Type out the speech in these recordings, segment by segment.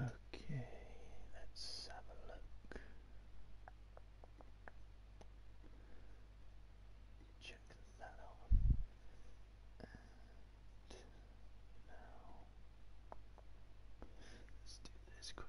Okay, let's have a look check that out. now let's do this quick.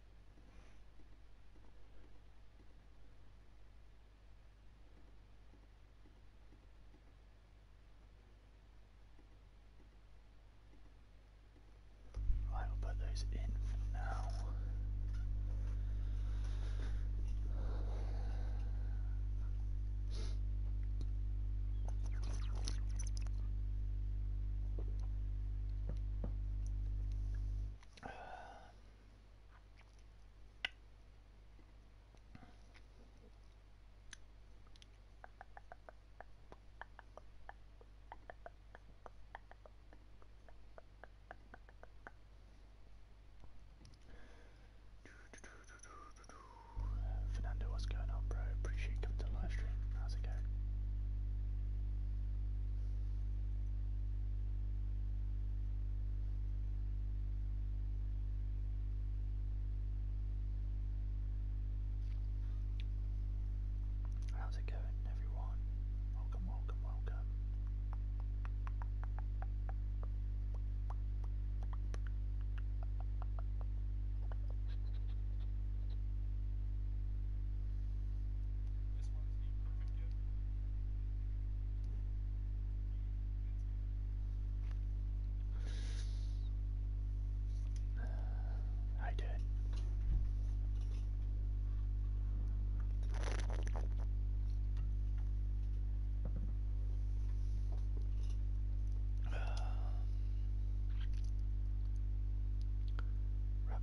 Right, we'll put those in for now. Fernando, what's going on, bro? Appreciate you coming to live stream. How's it going? How's it going, everyone? Welcome, welcome, welcome. I did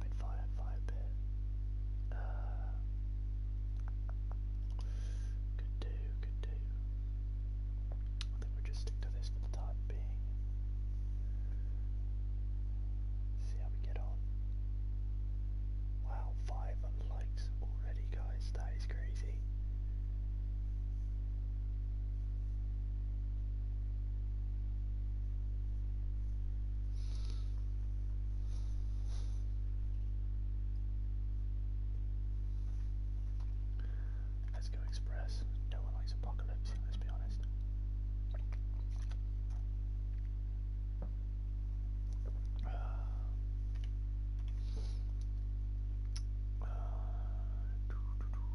rapid fire fire pit. Uh, could do, could do. I think we just stick to this for the time being. See how we get on. Wow, five likes already, guys. That is crazy. Let's go express. No one likes apocalypse, let's be honest. Uh, uh, doo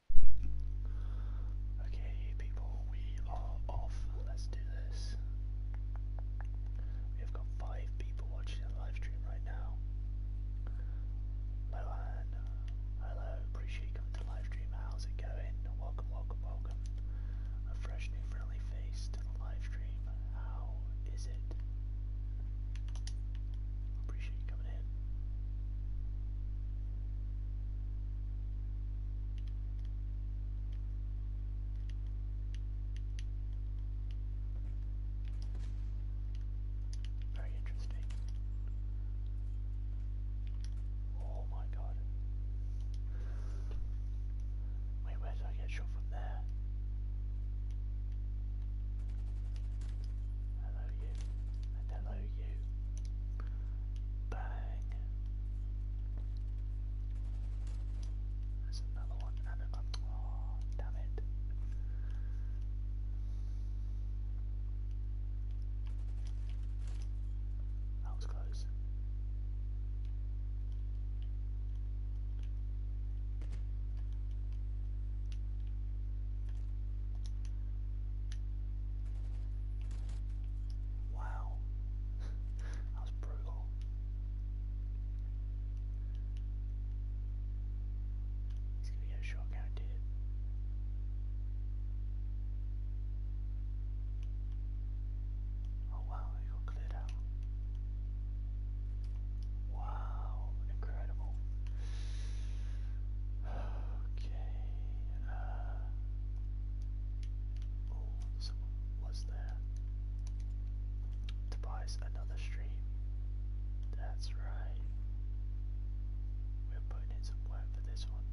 Okay, people, we are off. Let's do this. We have got five people watching the live stream right now. Hello, Hello, appreciate you coming to live stream. How's it going? Welcome, welcome, welcome. A fresh, new, friendly face to the live stream. How is it? Appreciate you coming in. Very interesting. Oh my god. Wait, where did I get shot from there? Hello you, hello you. Bang. There's another one and another oh damn it. That was close. Wow. that was brutal. He's gonna get a shot guaranteed. Oh wow, he got cleared out. Wow, incredible. Okay. Uh, oh, was there. Tobias, another stream. That's right. We're putting in some work for this one.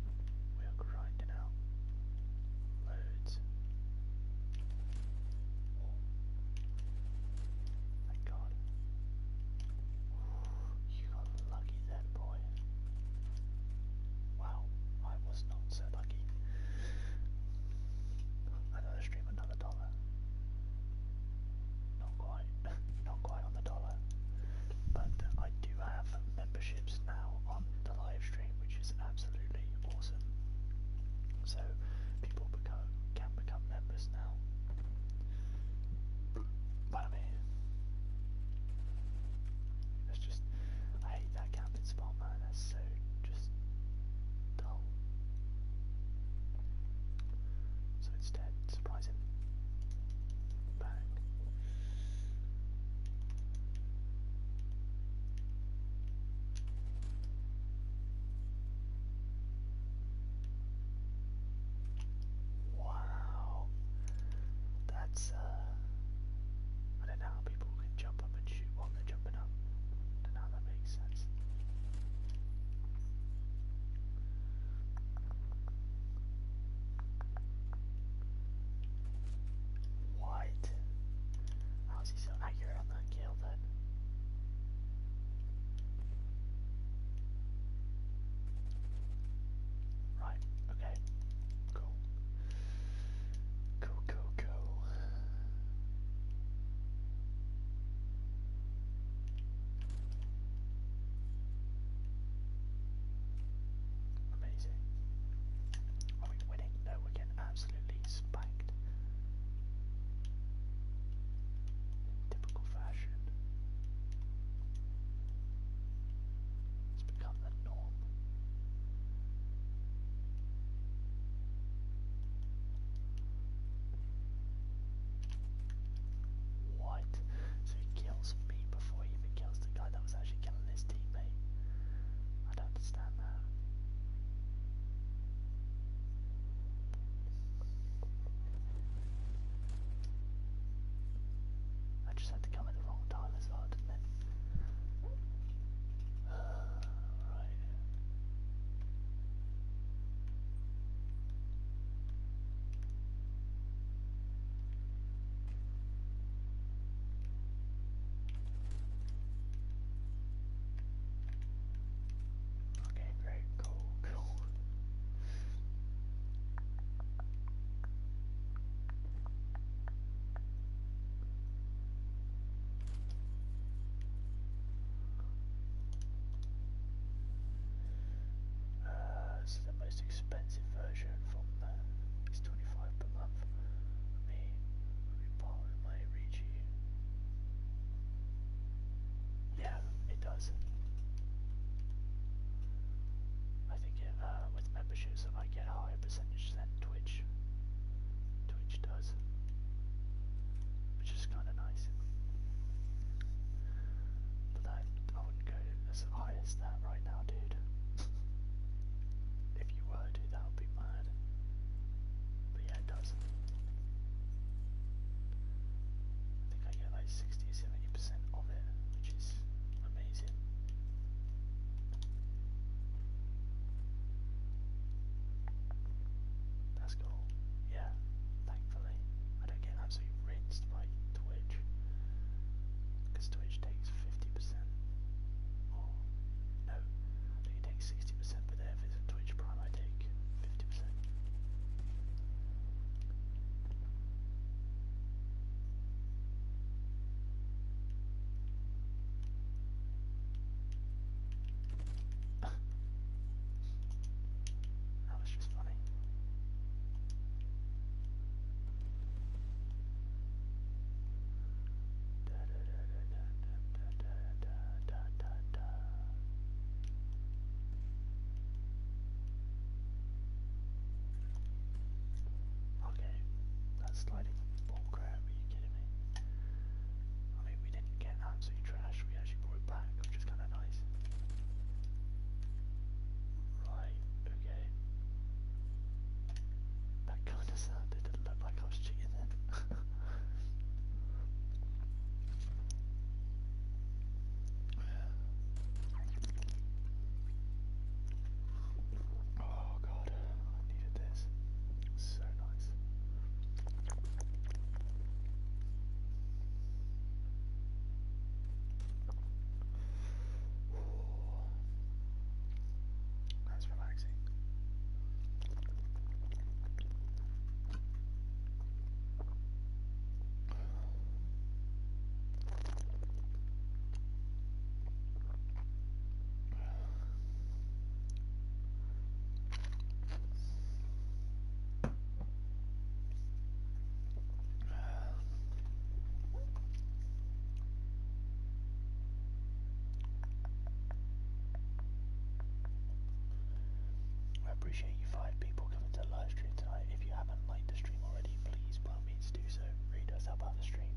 We are grinding out loads. Oh, thank God. you got lucky there boy. Wow, I was not so lucky. Another stream, another dollar. Not quite, not quite on the dollar. But I do have memberships now on the live stream, which is absolutely awesome. So people can become members now. But I that's just, I hate that camping spot, man. That's so just dull. So instead, surprise him. Bang. Wow, that's uh, I don't know how people can jump up and shoot while they're jumping up. I that makes sense. What? How is he so accurate on that kill then? Right, okay. Cool. Go, go, go. Amazing. Are we winning? No, we're getting absolutely spanked. typical fashion. It's become what? So he kills me before he kills the guy that was actually killing his teammate. I don't understand that. I just had to come at the wrong time as well, didn't it? Uh, right. Okay, great, cool, cool. Uh, so the most expensive version from them 25 per month. I mean, I'll be part Yeah, it does. I think uh, with memberships, I get higher percentage than Twitch. Twitch does, which is kind of nice. But I, I wouldn't go as high as that right now, dude. if you were to, that would be mad. But yeah, it does. I think I get like 60 70% of it, which is Amazing. That's cool. Yeah, thankfully I don't get absolutely rinsed by Twitch. Because Twitch takes 50%. Or, no, I think 60%, but there, if it's Twitch Prime, I take 50% that was just funny. Okay, that's sliding Bull are you kidding me? I mean, we didn't get absolutely trash, we actually brought it back, which is kind of nice. Right, okay. That kind of sounded, it looked like I was cheating then. Oh god, I needed this. So nice. That's relaxing. I appreciate you five people coming to the live stream tonight. If you haven't liked the stream already, please, means do so. Read us up the stream.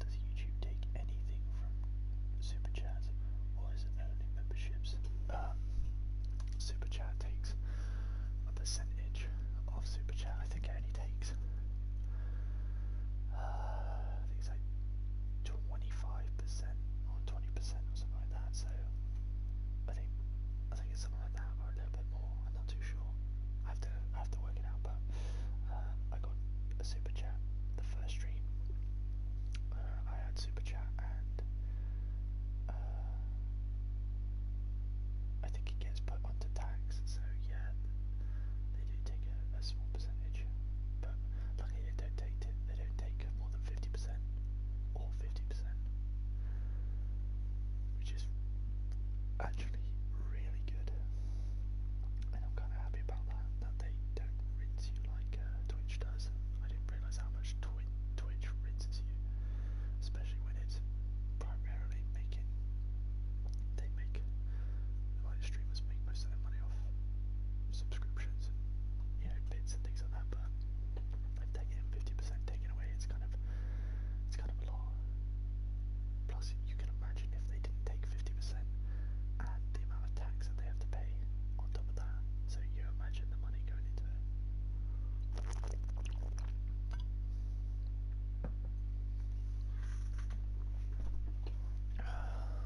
Does YouTube take anything from Super Chats or is it only memberships? Um, super Chat takes a percentage of Super Chat. I think it only takes, uh, I think it's like 25% percent or twenty percent or something like that. So I think I think it's something like that or a little bit more. I'm not too sure. I have to I have to work it out. But uh, I got a super chat the first stream. Uh, I had super chat and uh, I think it gets put onto tax. So yeah, they do take a, a small percentage, but Luckily they don't take it. They don't take more than fifty percent or fifty percent, which is actually really good. And I'm kind of happy about that. That they don't rinse you like uh, Twitch does. I didn't realise how much Twitch Twitch rinses you, especially when it's primarily making they make like streamers make most of their money off subscriptions and you know bits and things like that, but if they're getting fifty percent taken away, it's kind of it's kind of a lot. Plus, you can imagine if they didn't take fifty percent and the amount of tax that they have to pay on top of that. So you imagine the money going into it.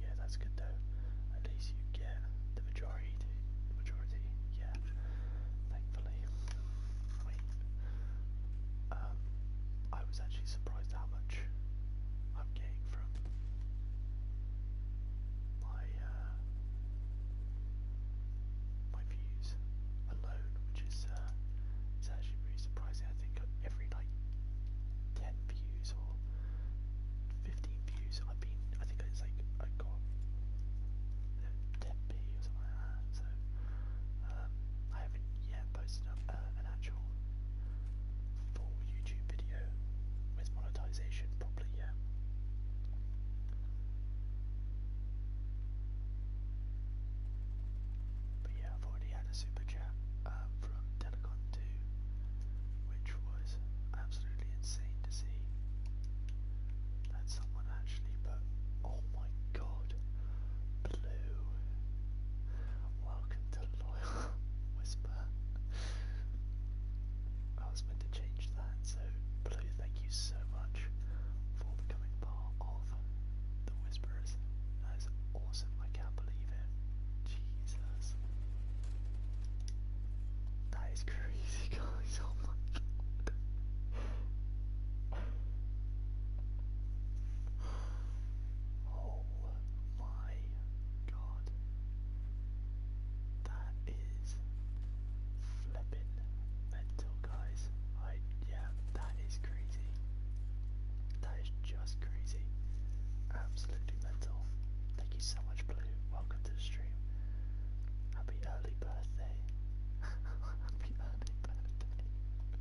Yeah, that's good though. At least you get the majority. The majority, yeah. Thankfully, wait. Um, I was actually surprised how much I'm getting from my uh, my views alone, which is uh, actually really surprising. I think every like ten views or 15 views. I've been, I think it's like I got 10p uh, or something So um, I haven't yet posted up uh, an actual full YouTube video with monetization properly yet. But yeah, I've already had a super chat uh, from Telecon to which was absolutely insane to see that someone actually put, oh my god, blue, welcome to Loyal Whisper. I was meant to change that, so blue, thank you so much for becoming part of the Whisperers. That is awesome. I can't believe it. Jesus. That is crazy, guys. Oh, oh my god. That is flipping mental, guys. I yeah, that is crazy. That is just crazy. Absolutely mental. Thank you so much, Blue. Welcome to the stream. Happy early birthday. Happy early birthday.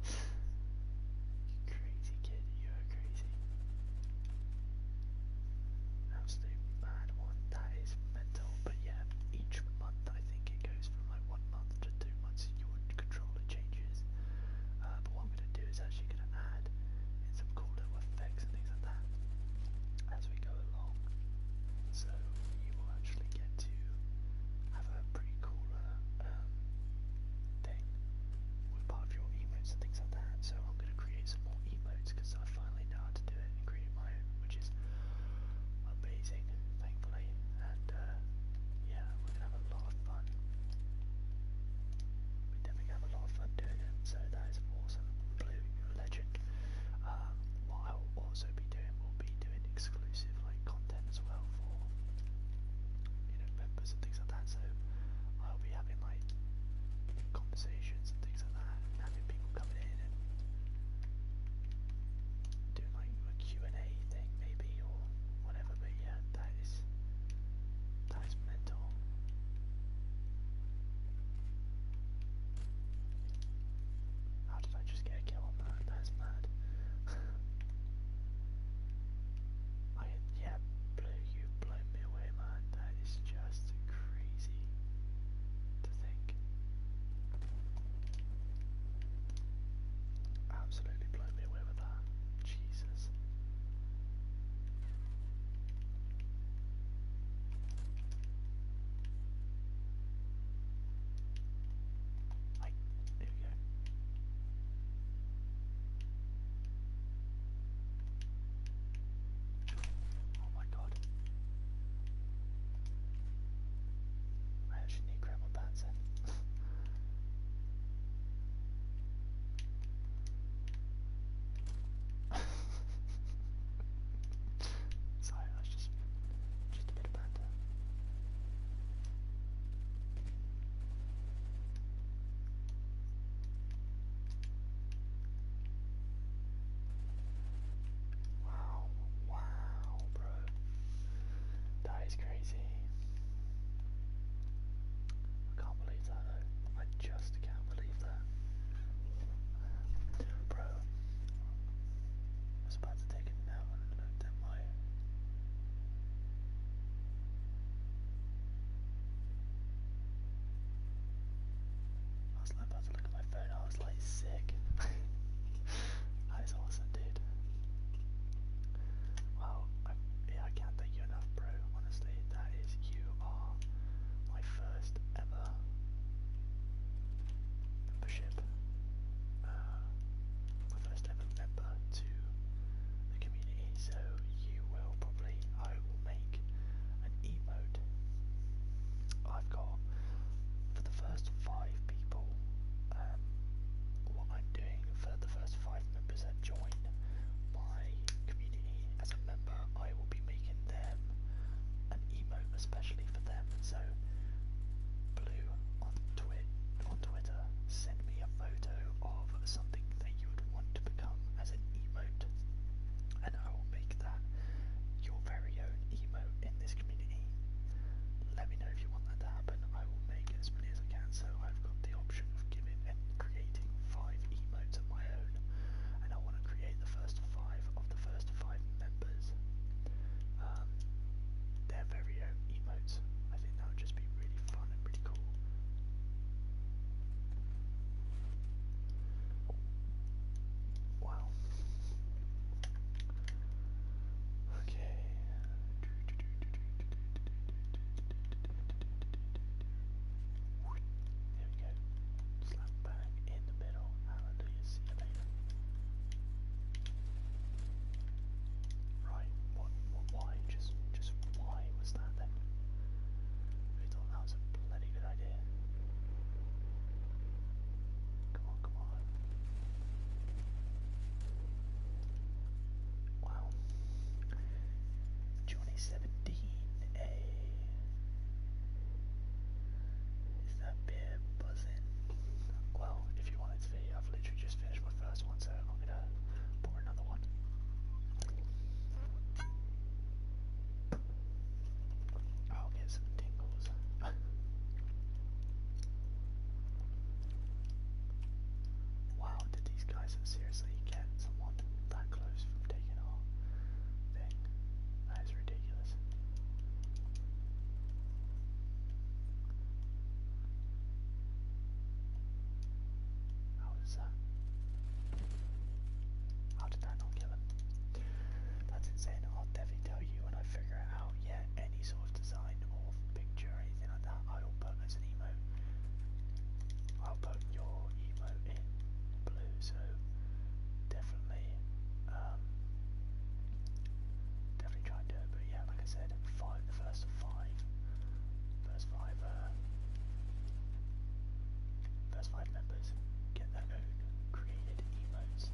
you crazy kid, you are crazy. Absolute mad one. That is mental. But yeah, each month I think it goes from like one month to two months. Your controller changes. Uh, but one I'm going to do is actually going to add some cool little effects and things like that as we go along. So you will actually get to have a pretty cool uh, um, thing with part of your emotes and things like that. So I'm going to create some more emojis because I finally know how to do it and create my own, which is amazing, thankfully. And uh, yeah, we're going to have a lot of fun we never have a lot of fun doing it, so that is awesome blue legend. Um, what I will also be doing will be doing exclusive like content as well for you know members and things like that. So I'll be having like conversations and things like that, having people coming in and doing like a Q and A thing maybe or whatever. But yeah, guy's mental. How did I just get a kill on that? That's mad. yeah, blue, you've me away, man. That is just crazy to think. Absolutely blown me away with that. Jesus. Like, there we go. Oh my god. I actually need Gremlin Panzer. Sorry, that's just just a bit of banter. Wow, wow, bro. That is crazy. I can't believe that I just can't believe that. Bro, I was about to take a nap and I at my I was like about to look at my phone, I was like sick. that is awesome dude. Wow, yeah, I can't thank you enough bro, honestly, that is, you are my first ever membership, uh, first ever member to the community. So you will probably, I will make an emote. I've got for the first five people. Um, what I'm doing for the first five members that join my community as a member, I will be making them an emote especially for them. So, Blue on, twi on Twitter, send me a photo of something that you would want to become as an emote, and I will make that your very own emote in this community. Let me know if you want that to happen. I will make it as many as I can. So, I've got the option of giving and creating five emotes of my own, and I want to create the first five of the first five members. Um, their very own emotes. I think that would just be really fun and pretty cool. Wow. Okay. Slap bang in the middle. Right. What? why? Just, just why was that then? that was a bloody good idea. Come on, come on. Wow. Johnny a. Is that beer buzzing? Well, if you want to be, I've literally just finished my first one, so I'm gonna pour another one. I'll get some tingles. wow, did these guys seriously get someone that close from taking our that is ridiculous. How is that? How did that not kill him? That's insane. I'll definitely tell you when I figure it out. Yeah, any sort of design or picture anything like that, I'll put as an emote. I'll put your emote in blue so definitely, um, definitely try and do it. But yeah, like I said, five, the first five, first five, uh, five members get their own created emotes.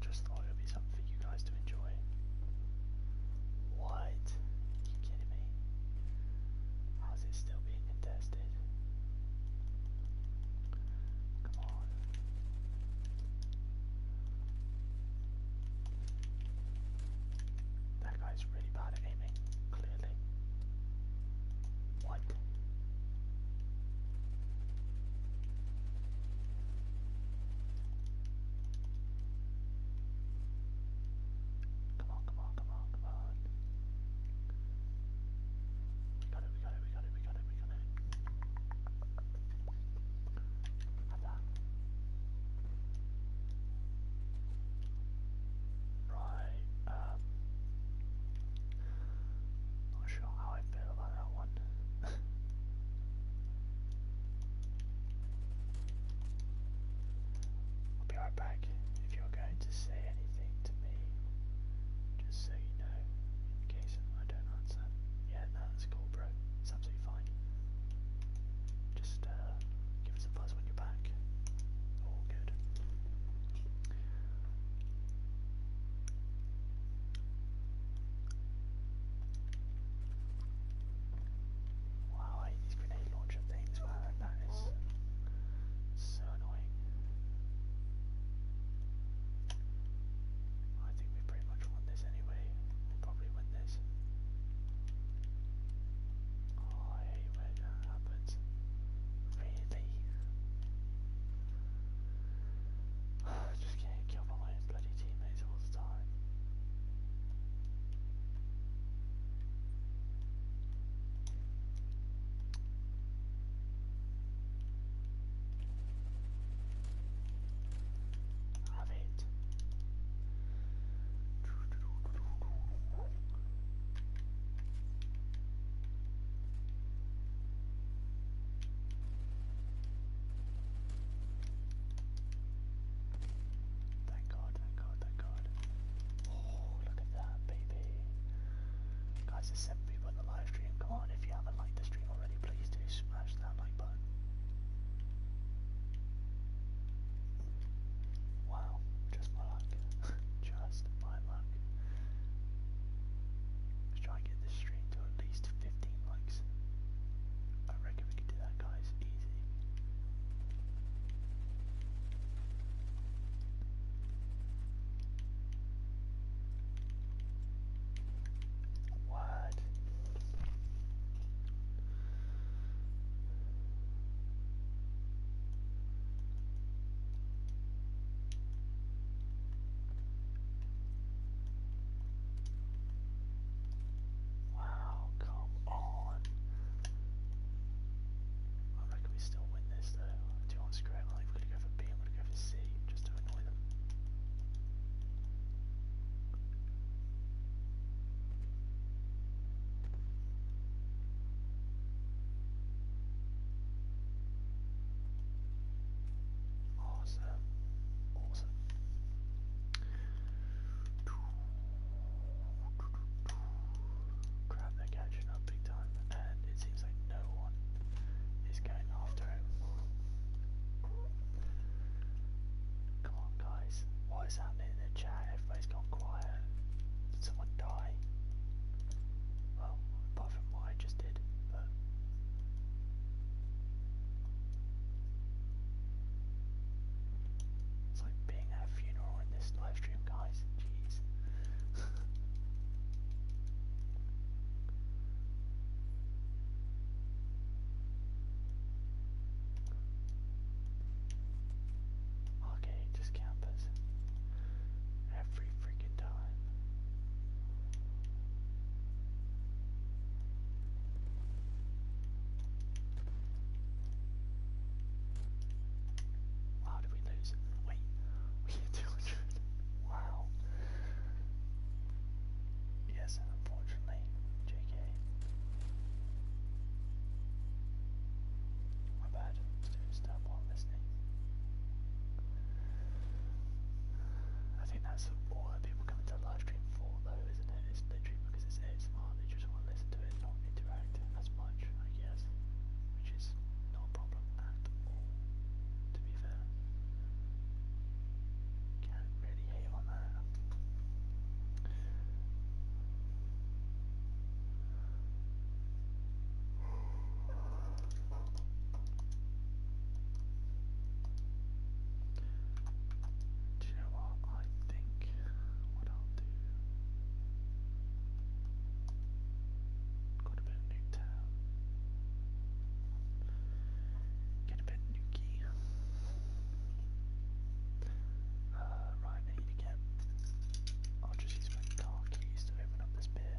Just thought it would be something for you guys to enjoy. What? you kidding me? How's it still being contested? Come on. That guy's really bad at aiming, clearly. What? Come on, come on, come on, come on. We got it, we got it, we got it, we got it, we got it. Right, not sure how I feel about that one. I'll be right back. If you're going to say anything to me, just so you know, in case I don't answer. Yeah, no, that's cool, bro. It's absolutely fine. Just uh, give us a buzz when you're back. All good. Wow, I hate these grenade launcher things, man. That is so annoying. I think we pretty much won this anyway. we probably win this. Oh, I hate when that happens. Really? I just can't kill my own bloody teammates all the time. Love it. Thank God, thank God, thank God. Oh, look at that, baby. Guys, there's seven people in the live stream. Come on, if you haven't liked the stream already, please do smash that like button. Wow, just my luck. just my luck. Let's try and get this stream to at least 15 likes. I reckon we can do that, guys. Easy. What? Wow, come on. I reckon we still win this though. I do want to screw it. I'm going to go for B, I'm going to go for C, just to annoy them. Awesome. Awesome. Crap, they're catching up big time, and it seems like no one is going after him. Come on, guys. What is happening in the chat? Everybody's gone quiet. Did someone die? Well, apart from what I just did, it's like being at a funeral in this live stream, guys. Jeez. okay, just campers. Every freaking time. Wow, did we lose Wait, we hit 200. Wow. Yes, unfortunately, JK. My bad. Just stuff while listening. I think that's all that people come into live stream for, though, isn't it? It's because it's it's not, they just want to listen to it, not interact as much, I guess, which is not problem at all, to be fair. Can't really hate on that. Do you know what? I think what I'll do. Got a bit of Get a bit nuky. Uh, right, need to get. I'll just use my car keys to open up this beer.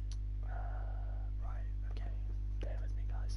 Uh, right, okay, bear with me, guys.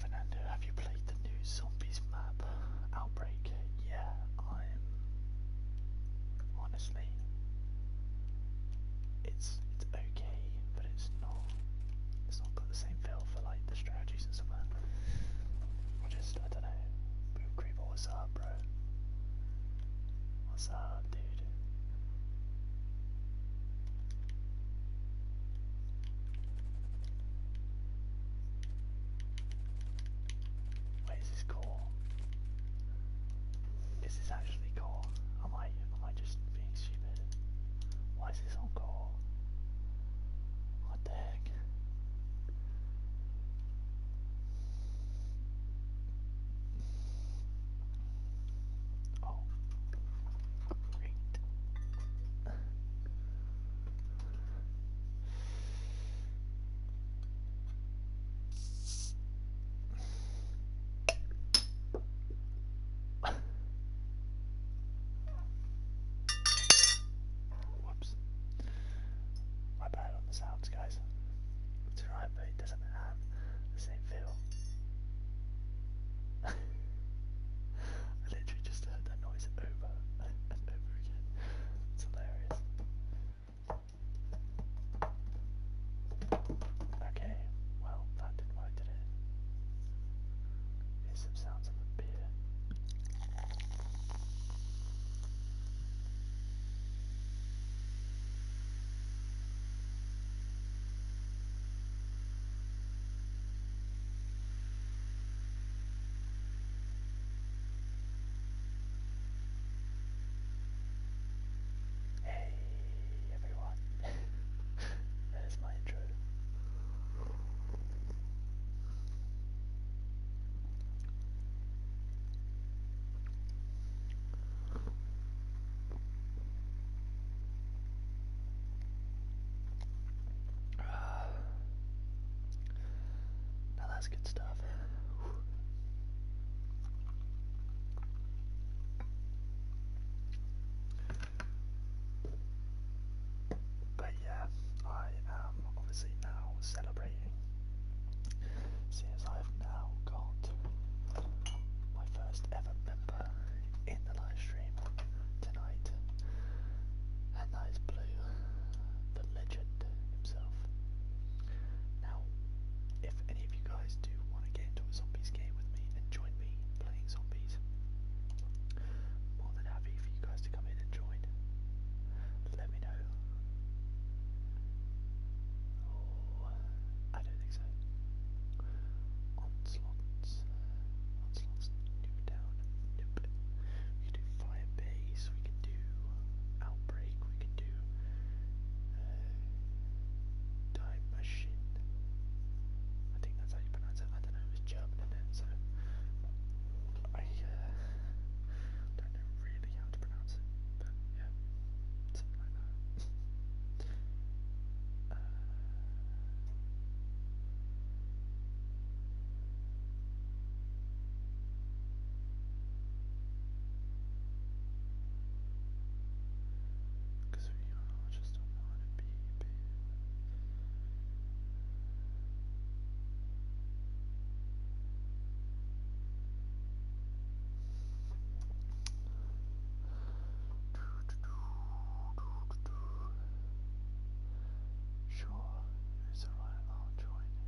Fernando, have you played the new zombies map? Outbreak? Yeah, I'm honestly it's it's okay, but it's not it's not got the same feel for like the strategies and stuff. I just I don't know. Boot Creeper, what's up, bro? What's up, dude? Wait, this cool? This Is actually cool. Am I am I just being stupid? Why is this on core? What the heck? Oh, great. Whoops. My bad on the sounds, guys. It's alright, but it doesn't have the same feel. I literally just heard that noise over and over again. It's hilarious. Okay, well, that didn't work, did it? Here's some beer. Hey everyone. that is my intro. Uh, now that's good stuff. But yeah, I am obviously now celebrating. Since I've now got my first ever member in the live stream tonight, and that is Blue, the legend himself. Now, if any of you guys do want to get into a zombies game with me and join me playing zombies, more than happy for you guys to come in and join. Let me know. Oh, I don't think so. Onslaughts. Onslaughts. Nope down. Nope. We can do Firebase. We can do Out break. We could do uh, machine. I think that's how you pronounce it. I don't know. It was German so I uh, don't know really how to pronounce it. But yeah, something like that. Uh, Cause we all just don't want to be big. Sure, it's alright, I'll join you.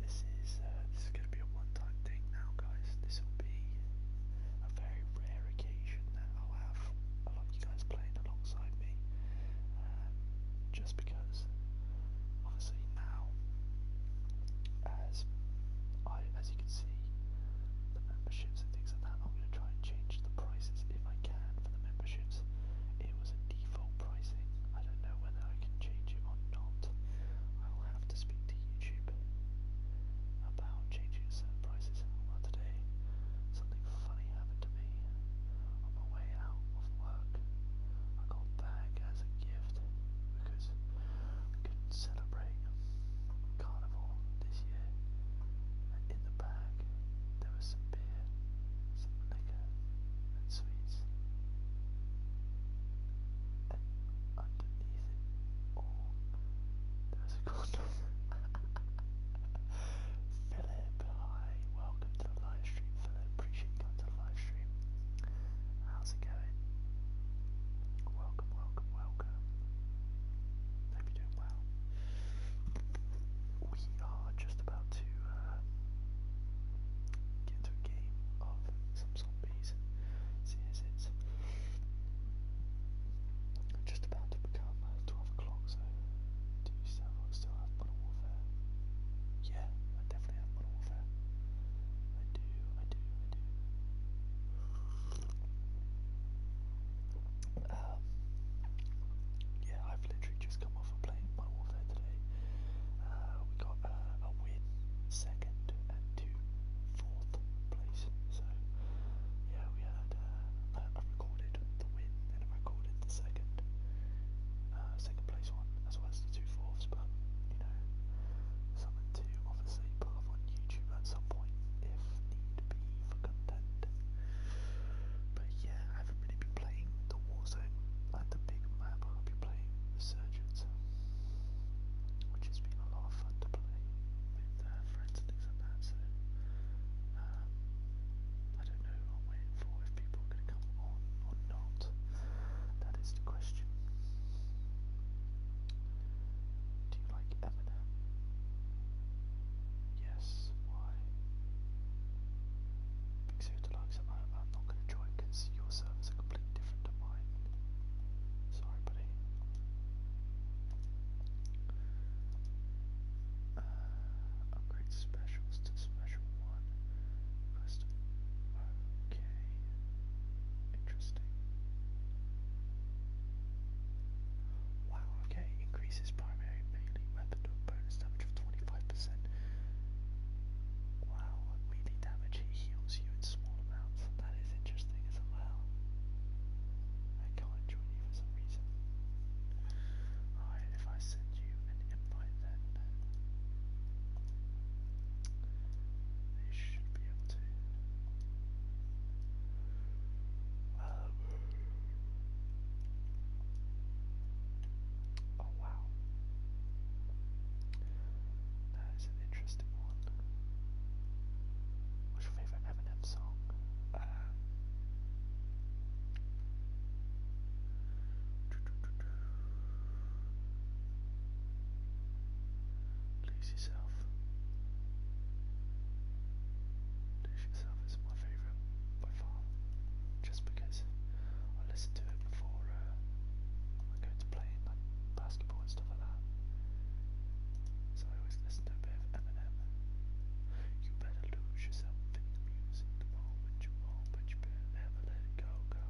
This is uh, this is going to be a one-time thing now, guys. This will be a very rare occasion that I'll have a lot of you guys playing alongside me, um, just because obviously now, as I as you can see, the memberships and things like that. I'm going to try and change the prices if I can for the memberships. It was a default full pricing. I don't know whether I can change it or not. I will have to speak to YouTube about changing certain prices. Well, today something funny happened to me on my way out of work. I got back as a gift because we couldn't celebrate Carnival this year. And in the bag there was some beer, some liquor underneath it all, oh, there was a condom. Philip, hi, welcome to the live stream. Philip, appreciate you coming to the live stream. How's it going? Welcome, welcome, welcome. Hope you're doing well we are just about to uh, get into a game of some zombies. See, as it's just about to become uh, 12 o'clock, so do you still, still have Modern Warfare? Yeah, I definitely have Modern Warfare. I do, I do, I do. Um, yeah, I've literally just come off of playing Modern Warfare today. Uh, we got uh, a win, second, and two fourth place. So yeah, we had uh, I recorded the win and I recorded the second, uh, second place one as well as the two fourths. But you know, something to obviously put up on YouTube at some point if need be for content. But but yeah, I haven't really been playing the Warzone, like the big map. I've been playing Resurgence, which has been a lot of fun to play with uh, friends and things like that. So um, I don't know. I'm waiting for if people are going to come on or not. That is the question. Do you like Eminem? Yes. Why? Because suit likes it. I, I'm not going to join because your servers are completely different to mine. Sorry, buddy. Uh, upgrade specials to special one. Custom. Okay. Interesting. Wow, okay, increases primary melee weapon to a bonus damage of 25% Wow, what melee damage it heals you in small amounts. That is interesting as well. I can't join you for some reason. Alright, if I send you an invite then you should be able to. Um, Oh wow. That is an interesting one. What's your favorite Eminem song? Uh, Lose yourself. Lose yourself is my favorite by far, just because I listen to it before uh, I go to play like basketball and stuff like that. So I always listen to a bit of Eminem. You better lose yourself in the music the moment you want, but you better never let it go, go.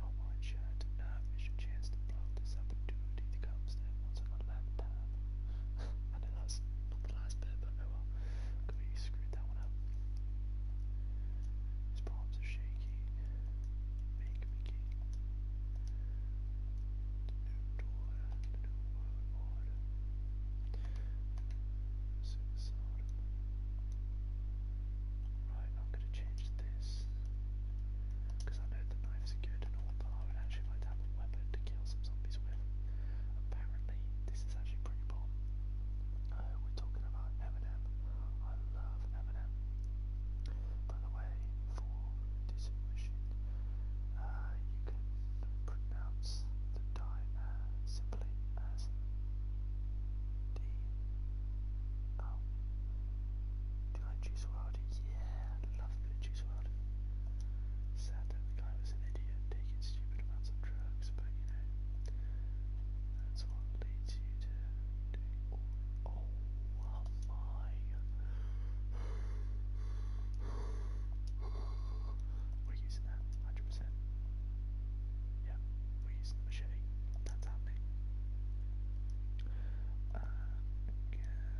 One shot to not miss your chance to blow this opportunity that comes there once in a lifetime. I know that's not the last bit, but oh well. Could be screwed that one up. His palms are shaky. Make me new door new world order. Suicide. Right, I'm gonna change this. Because I know the knives good and all, but I would actually like to have a weapon to kill some zombies with. Apparently, this is actually pretty people. Uh, we're talking about Eminem. I love Eminem. By the way, for this machine, uh, you can pronounce the time uh, simply as D. Oh. Do you like Juice WRLD? Yeah, I love a Juice WRLD. Sad that the guy was an idiot taking stupid amounts of drugs, but you know, that's what leads you to do. Oh, oh my. We're using that 100%. Yeah, we're using the machete. That's happening. Uh, again,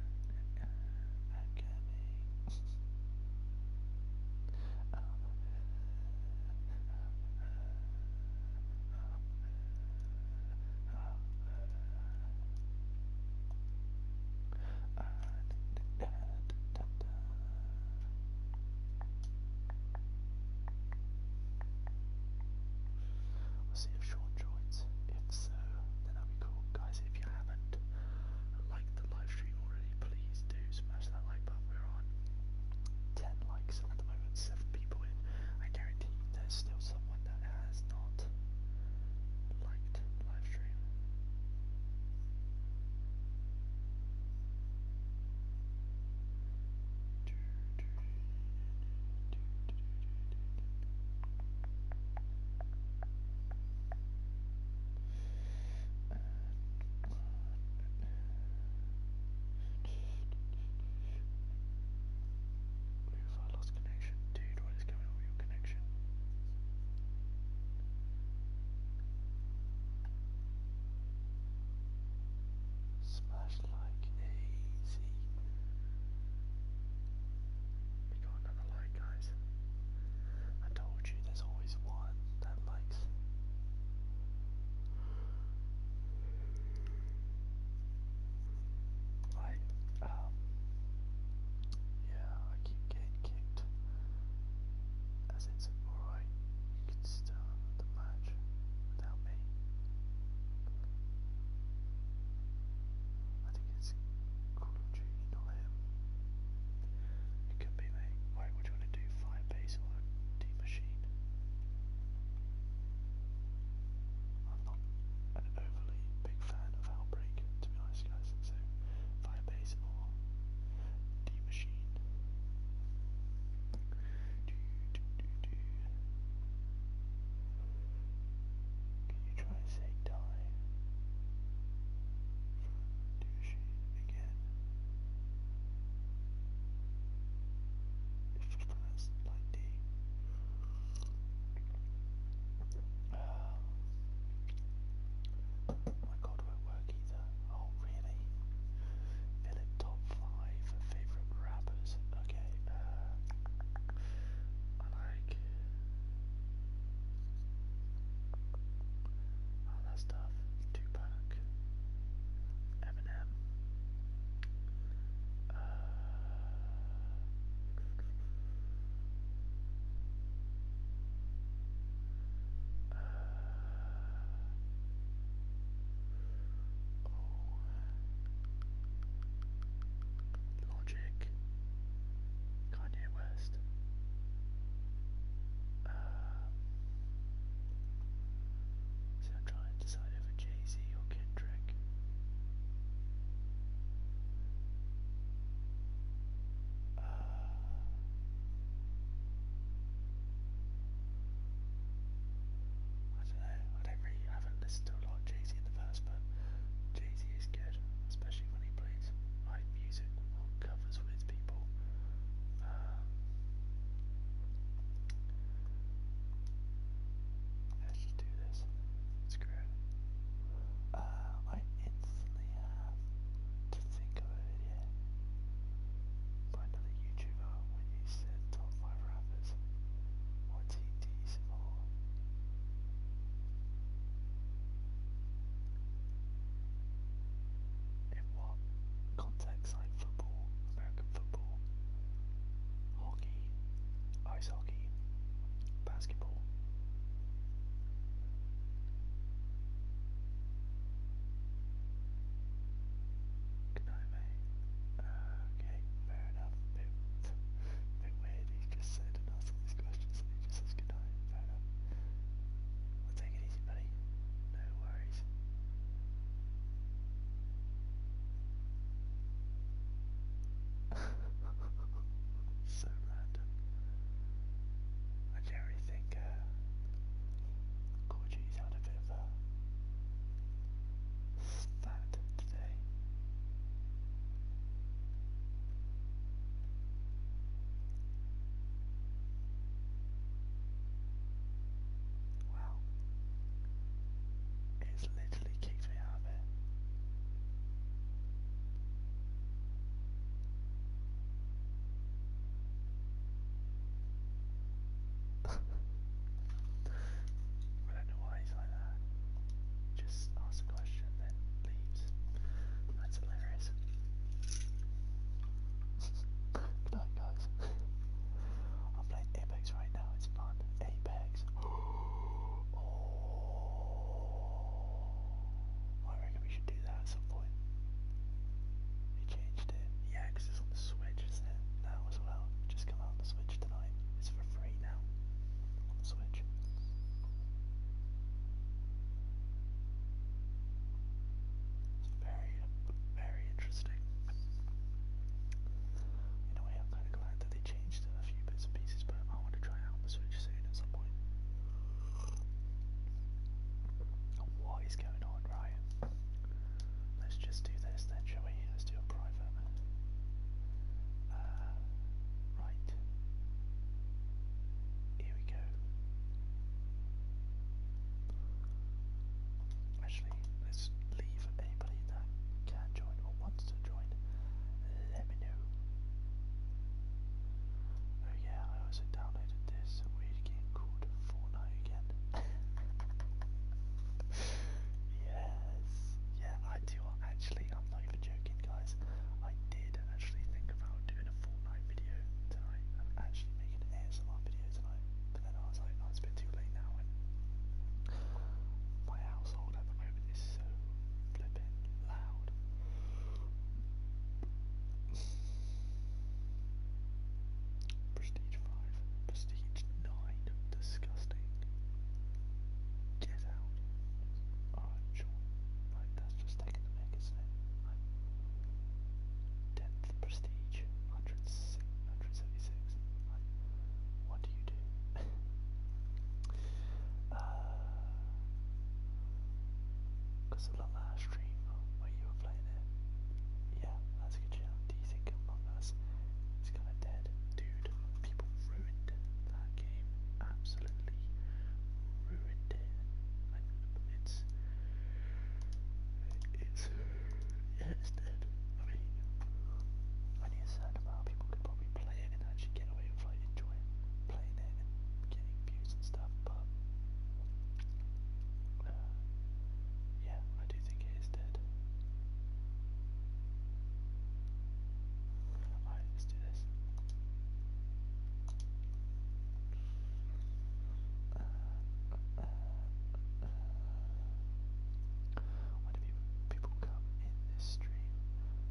uh, um, uh, uh, uh, We'll see if Sean joins. If so, then that'll be cool. Guys, if you haven't liked the live stream already, please do smash that like button. We're on 10 likes at the moment, 7 people in. I guarantee there's still someone that has not liked live stream. Oof, I lost connection. Dude, what is going on with your connection? Smash like easy. We got another like, guys. I told you there's always one that likes. Like, um, yeah, I keep getting kicked. As it's alright, you can start the match without me. I think it's Call of Duty, not him. It could be me. Right, what do you want to do? Firebase or D machine? I'm not an overly big fan of Outbreak, to be honest, guys. So, Firebase or D Machine. Can you try and say die from D Machine again? times um, my god, won't work either. Oh, really? Philip, top five favorite rappers. Okay, uh, I like. All oh, that stuff. Tupac, Eminem, uh, uh, oh, Logic, Kanye West. Uh, See, I'm trying to decide over Jay Z or Kendrick. Uh, I don't know. I don't really. I haven't listened to a lot Jay Z in the past, but Jay Z is good, especially when he plays live music or covers with people. Um, Let's do this. Screw it. Uh, I instantly have to think of a video by another YouTuber when you said top 5 rappers. What team do you support? In what context, like football, American football? hockey, ice hockey, basketball. Good mate. okay, fair enough. Bit, bit weird. He just said and these questions, and he just says good Fair enough. I'll take it easy, buddy. No worries. so random. I generally think uh, had a bit of a stat today well, it's literally kicked me out of it. I don't know like that. Just asks a question then leaves. That's hilarious. Good night guys. I'm playing Apex right now, it's fun. Apex. Oh. I reckon we should do that at some point. They changed it. Yeah, it's on the Switch, isn't it? Now as well. Just come out on the Switch tonight. It's for free now on the Switch. It's very, very interesting. You know, we have kind of glad that they changed a few bits and pieces, but I want to try out the Switch soon at some point. Oh, what is going on, right? Let's just do this then, shall we? Let's do a private. Uh, right. Here we go. Actually, let's leave anybody that can join or wants to join. Let me know. Oh yeah, I also downloaded this weird game called Fortnite again. yes, yeah, I do actually. I'm not even joking, guys. I did actually think about doing a Fortnite video tonight and actually making an ASMR video tonight. But then I was like, oh, a bit too late now. my household at the moment is so flipping loud. Prestige 5, Prestige 9, disgusting. Get out. Alright, sure. Like, that's just taking the mic, is 10th Prestige, 176 what do you do? Because uh, I love that stream oh, you playing it. Yeah, that's a good channel. Do you think Among Us is kind of dead? Dude, people ruined that game. Absolutely ruined it. I, it's. It's it is dead. I mean, I knew a certain amount of people could probably play it and actually get away with like enjoying playing it and getting views and stuff, but uh, yeah, I do think it is dead. Alright, let's do this. Uh, uh, uh, uh, uh. Whenever people come in this stream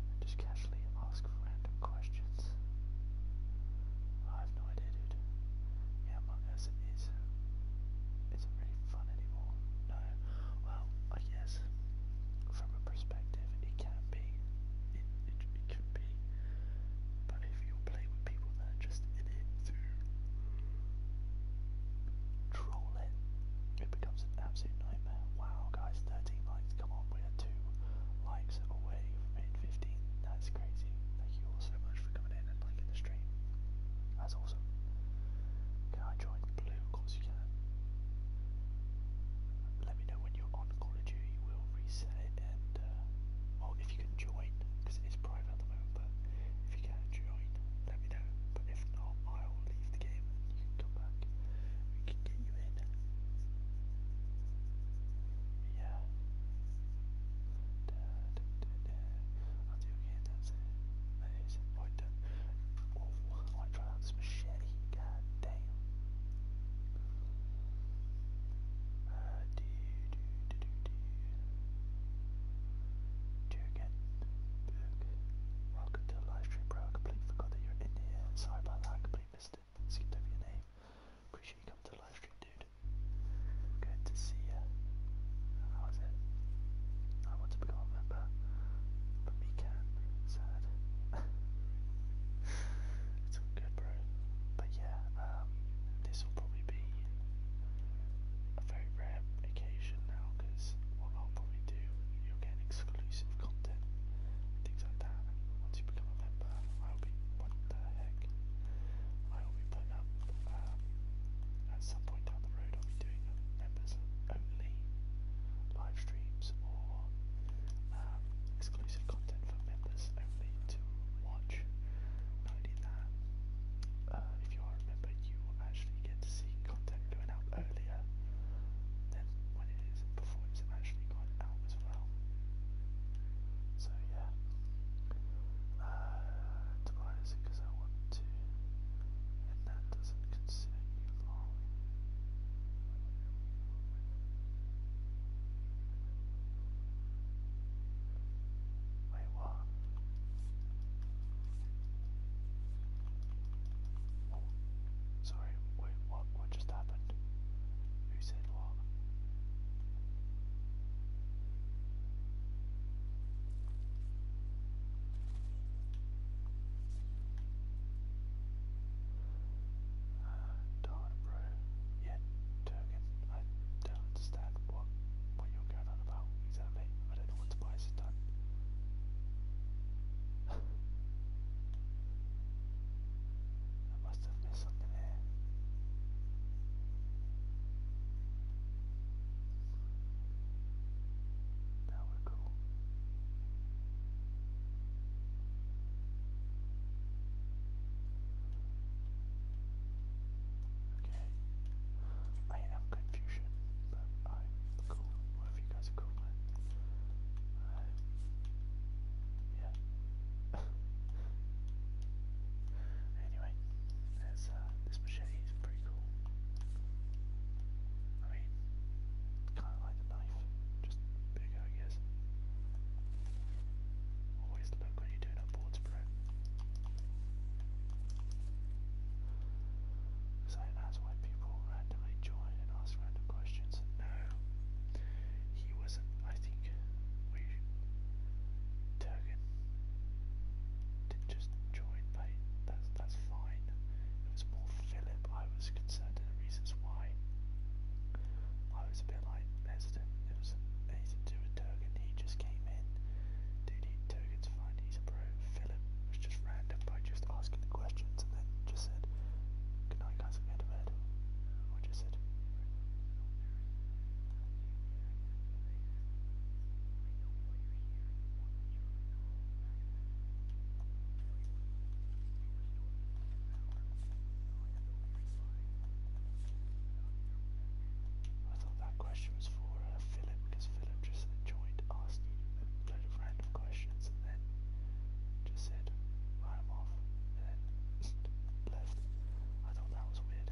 and just casually ask random questions. I have no idea, dude. Yeah, Among Us is isn't really fun anymore. No. Well, I guess from a perspective it can be. It it, it could be. But if you play with people that are just in it to troll it. It becomes an absolute nightmare. Wow, guys, 13 likes. Come on, we are two likes away from 15. That's crazy. Thank you all so much for coming in and liking the stream. That's awesome. Can I join Blue? Of course you can. Let me know when you're on Call of Duty. We'll reset it and, uh, if you can join, because it is private but if you can join, let me know. But if not, I will leave the game you can come back. We can get you in. Yeah. Da, da, da, da. I'll do again, that's it. I do Oh, I want this machete. God damn. Uh, do, do, do, do, do. Do again. Book. Welcome to the live stream, bro. I completely forgot that you're in here. Sorry about that. I completely missed it. Skipped over your name. Appreciate you coming to the live stream, dude. Good to see you. How is it? I want to become a member, but me can. Sad. good, bro. But yeah, um, this will probably be a very rare occasion now because what I'll probably do, you get exclusive content things like that. once you become a member, I'll be what the heck? I'll be putting up um, at some point down the road. I'll be doing members only live streams or um, exclusive content for members only to watch. Not that, uh, if if you all remember, you will actually get to see content going out earlier than when it is before it's actually gone out as well. So yeah. Uh, tomorrow is because I want to, and that doesn't consider you long. Wait, what? sorry, what, what just happened? Who said what? Uh, darn bro, yeah, I don't understand what, what you're going on about, I don't know what Tobias has done. I must have missed something here. Now we're cool. Okay. I am confusion, but alright, cool. Whatever you guys are cool with. Alright. Um, yeah. anyway, there's uh, this machete is pretty cool. I mean kinda like a knife, just bigger I Always look when you're doing a board spread. So that's why people randomly join and ask random questions. And no, he wasn't. I think we Turgan did just join Peyton. That's that's fine. It was more Philip. I was concerned in the reasons why. I was a bit like hesitant. It was anything to do with Turgan. He just came in. Dude, he, Turgan's fine. He's a pro. Philip was just random by just asking the questions and then just said, Good night, guys, I'm going to bed. Or just said, I thought that question was for uh, Philip because that i just enjoyed asking a load of random questions and then just said, I'm off, and then left. I thought that was weird.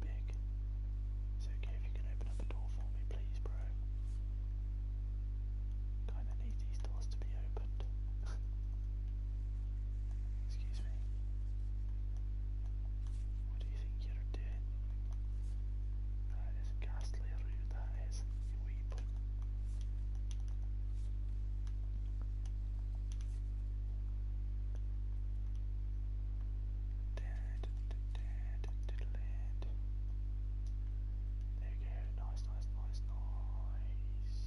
Big. It's okay if you can open up a door for me, please, bro. Kinda need these doors to be opened. Excuse me. What do you think you're doing? That is ghastly rude, that is. You there you go, nice, nice, nice, nice.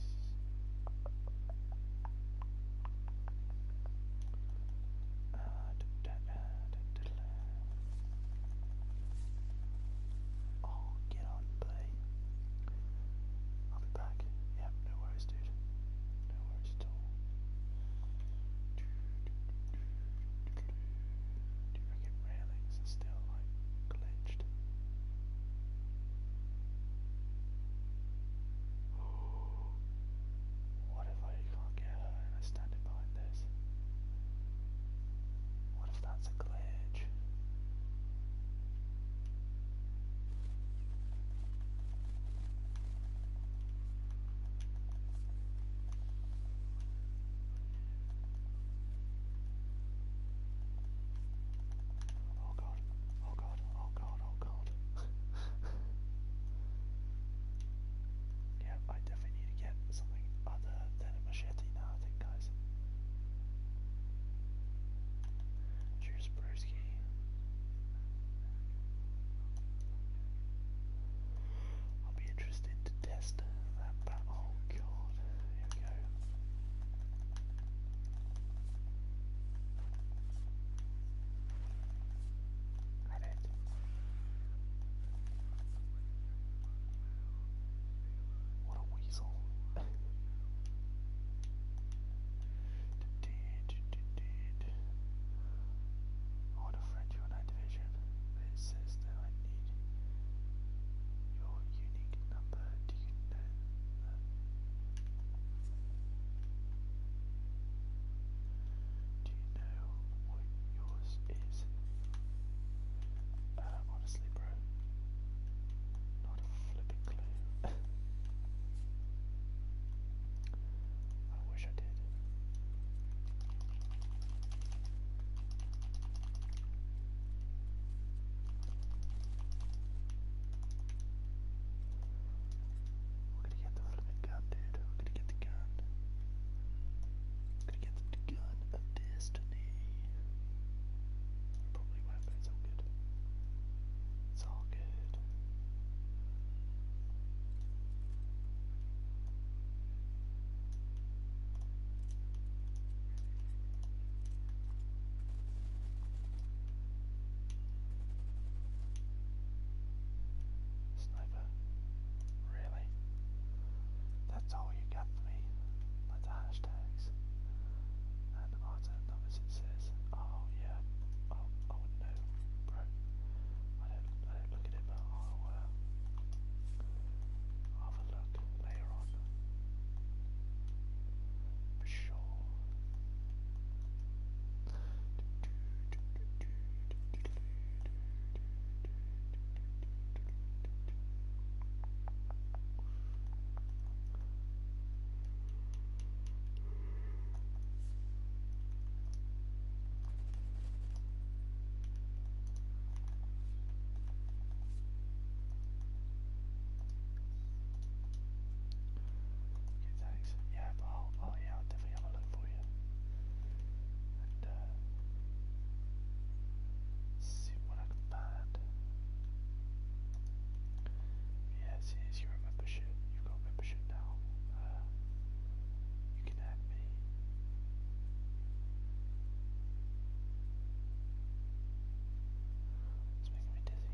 Uh, da, da, da, da, Oh, get can play. I'll be back. Yeah, no worries, dude. No worries at all. Do you reckon railings are still like glitched? What if I can't get her and I stand behind this? What if that's a glitch? Oh god, oh god, oh god, oh god. yeah, I definitely need to get something other than a machete now, I think, guys. Choose Kaspersky. I'll be interested to test that Oh god, here we go. At it. What a weasel. I want to friend you on Activision, but it says that I need your unique number. Do you know Do you know what yours is? Uh, honestly, bro, not a flipping clue. I wish I did. We're gonna get the flipping gun, dude. We're gonna get the gun. We're gonna get the gun of destiny. Probably won't, but it's good. It's all good. Sniper? Really? That's all you got for me? That's hashtags. I don't know as it says. Oh yeah. Oh, I oh, would I don't, I don't look at it, but I'll uh, have a look later on. For sure. Okay, thanks. Yeah, but i yeah, i definitely have a look for you. Uh, see what I can Yes, yes, you're a membership. You've got membership now. Uh, you can add me. It's making me dizzy.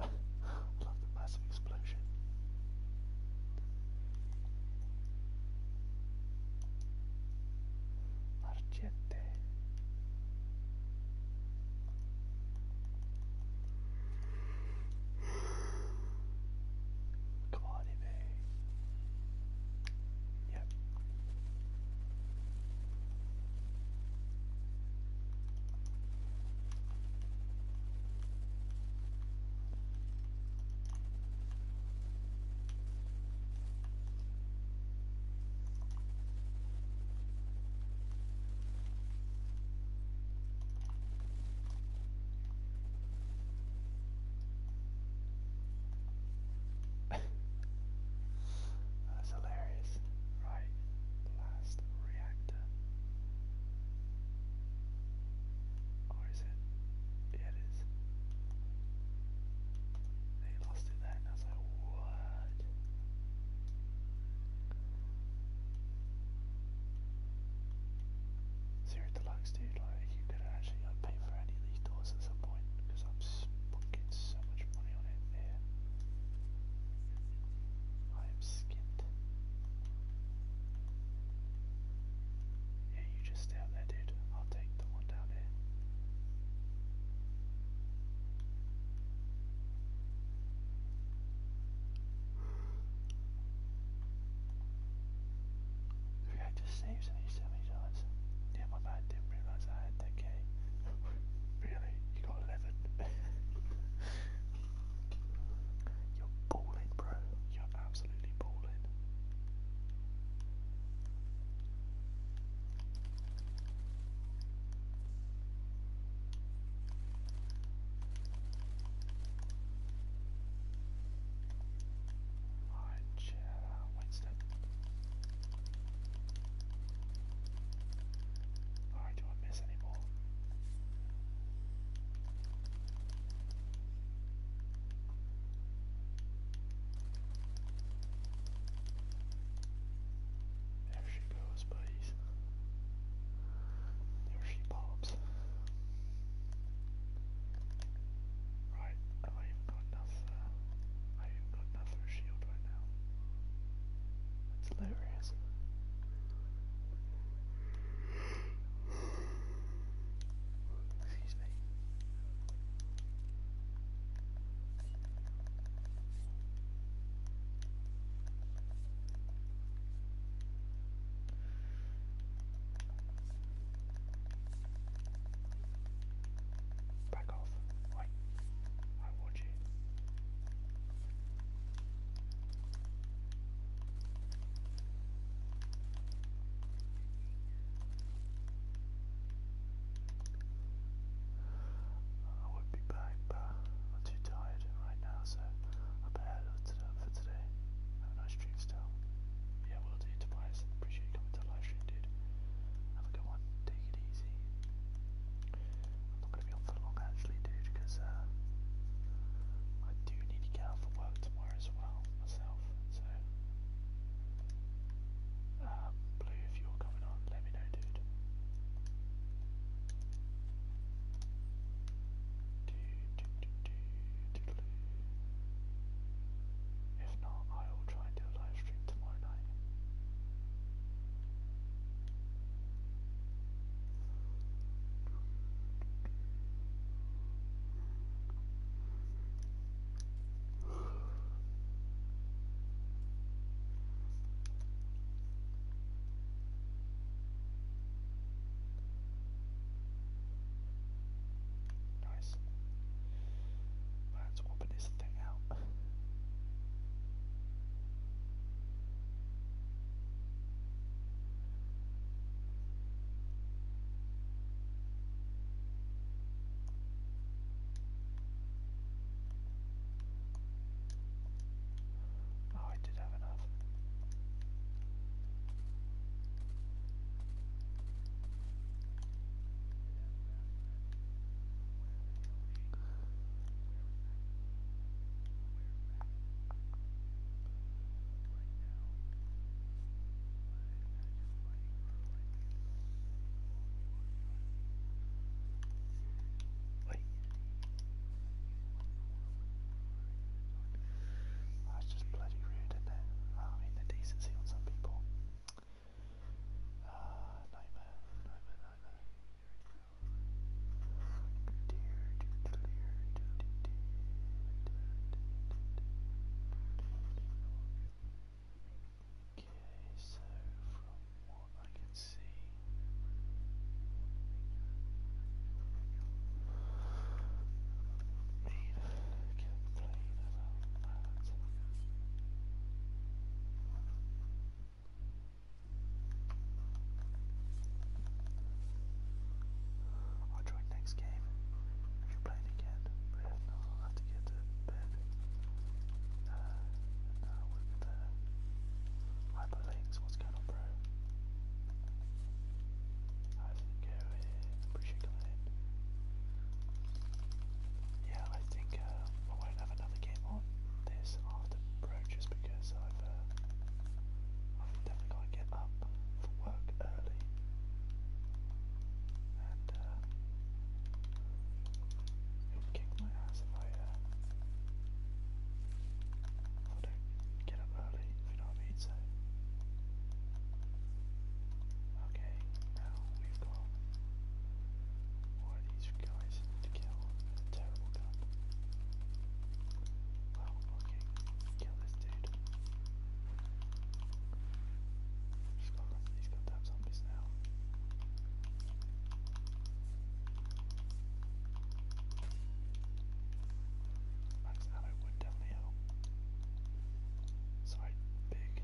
Love the massive explosion. Argente. Come on, Yep. That's hilarious, right? blast reactor. Or is it? Yeah, it is. They lost it then. I was like, what? Zero deluxe, dude. Like, you could actually pay for any of these doors at some point because I'm fucking so much money on it skipped. Yeah, you just stay up there, dude. I'll take the one down here. The reactor saves me so many times. Yeah, my bad, didn't realise I had 10k. really? You got 11? You're balling, bro. You're absolutely balling. Alright, chill out, Winston. Alright, do I miss any more? There she goes, buddies. There she pops. Right, have I got enough, uh, I even got enough shield right now. That's hilarious. Excuse me. Back off. Right. I want you. I would be back, but I'm too tired right now, so I better load it for today. Have a nice stream still. Yeah, will do, Tobias. Appreciate you coming to live stream, dude. Have a good one. Take it easy. I'm not going to be on for long actually, dude, because uh, I do need to get out for work tomorrow as well myself. So, um, Blue, if you're coming on, let me know, dude. Do, do, do, do, do, do. If not, I will try and do a live stream tomorrow night. Nice. Let's open this thing out. Oh, I did have enough. That's just bloody rude, isn't it? Ah, I mean, the decency on some people. Ah, uh, nightmare, nightmare, nightmare. Okay, so from what I can see, Nina complain about that i join next game you play again, i have to get to bed. Uh, uh the hyperlinks, what's going on, bro? I didn't go in, appreciate Yeah, I think uh, I won't have another game on this after bro just because I've I've got to get up for work early. And uh, it kick my ass uh, if I, don't get up early, you know what I mean. So, okay, now we've got one of these guys to kill. It's a terrible gun. Well, okay. Kill this dude. Just got run. He's got zombies now. Max ammo would definitely help. Sorry, big.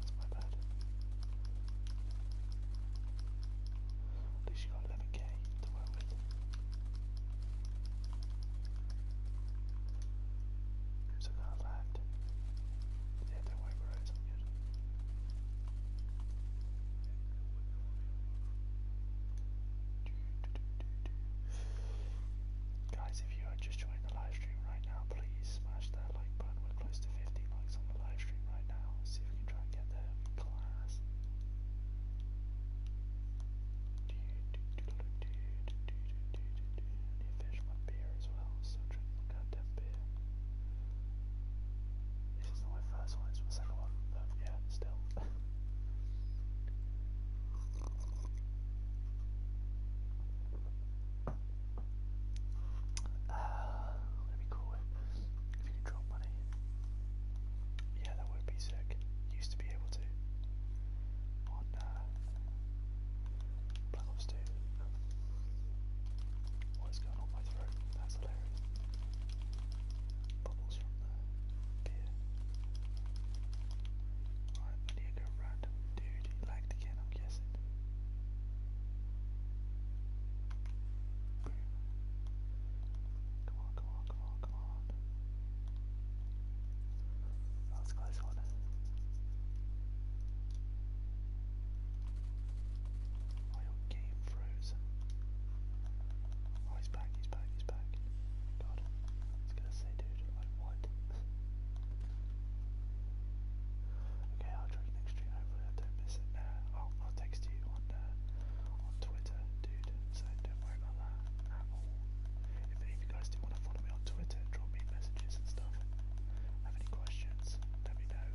That's my bad. At least you to So now i Yeah, don't worry, bro, it's all good. Guys, if you are just joining the live stream right now, please smash that like button. We're close to 50 likes on the live stream right now. see if we can try the class. He finished my beer as well, so drink goddamn beer. This is my first one, it's my second one, but yeah, still. Uh, let me call it. If you can money, yeah, that would be sick used to be able to on uh, Black Ops 2. What is on my throat? That's hilarious. Bubbles from the beer. I need to go random dude. He lagged again, I'm guessing. Come on, come on come on, come on. That was close one. Oh, your game froze. Oh, he's back, he's back, he's back. God, I gonna say, dude, like what? okay, I'll try next stream. Hopefully, I don't miss it. I'll, I'll text you on uh, on Twitter dude, so don't worry about that at all. If any of you guys do want to follow me on Twitter, drop me messages and stuff, have any questions, let me know.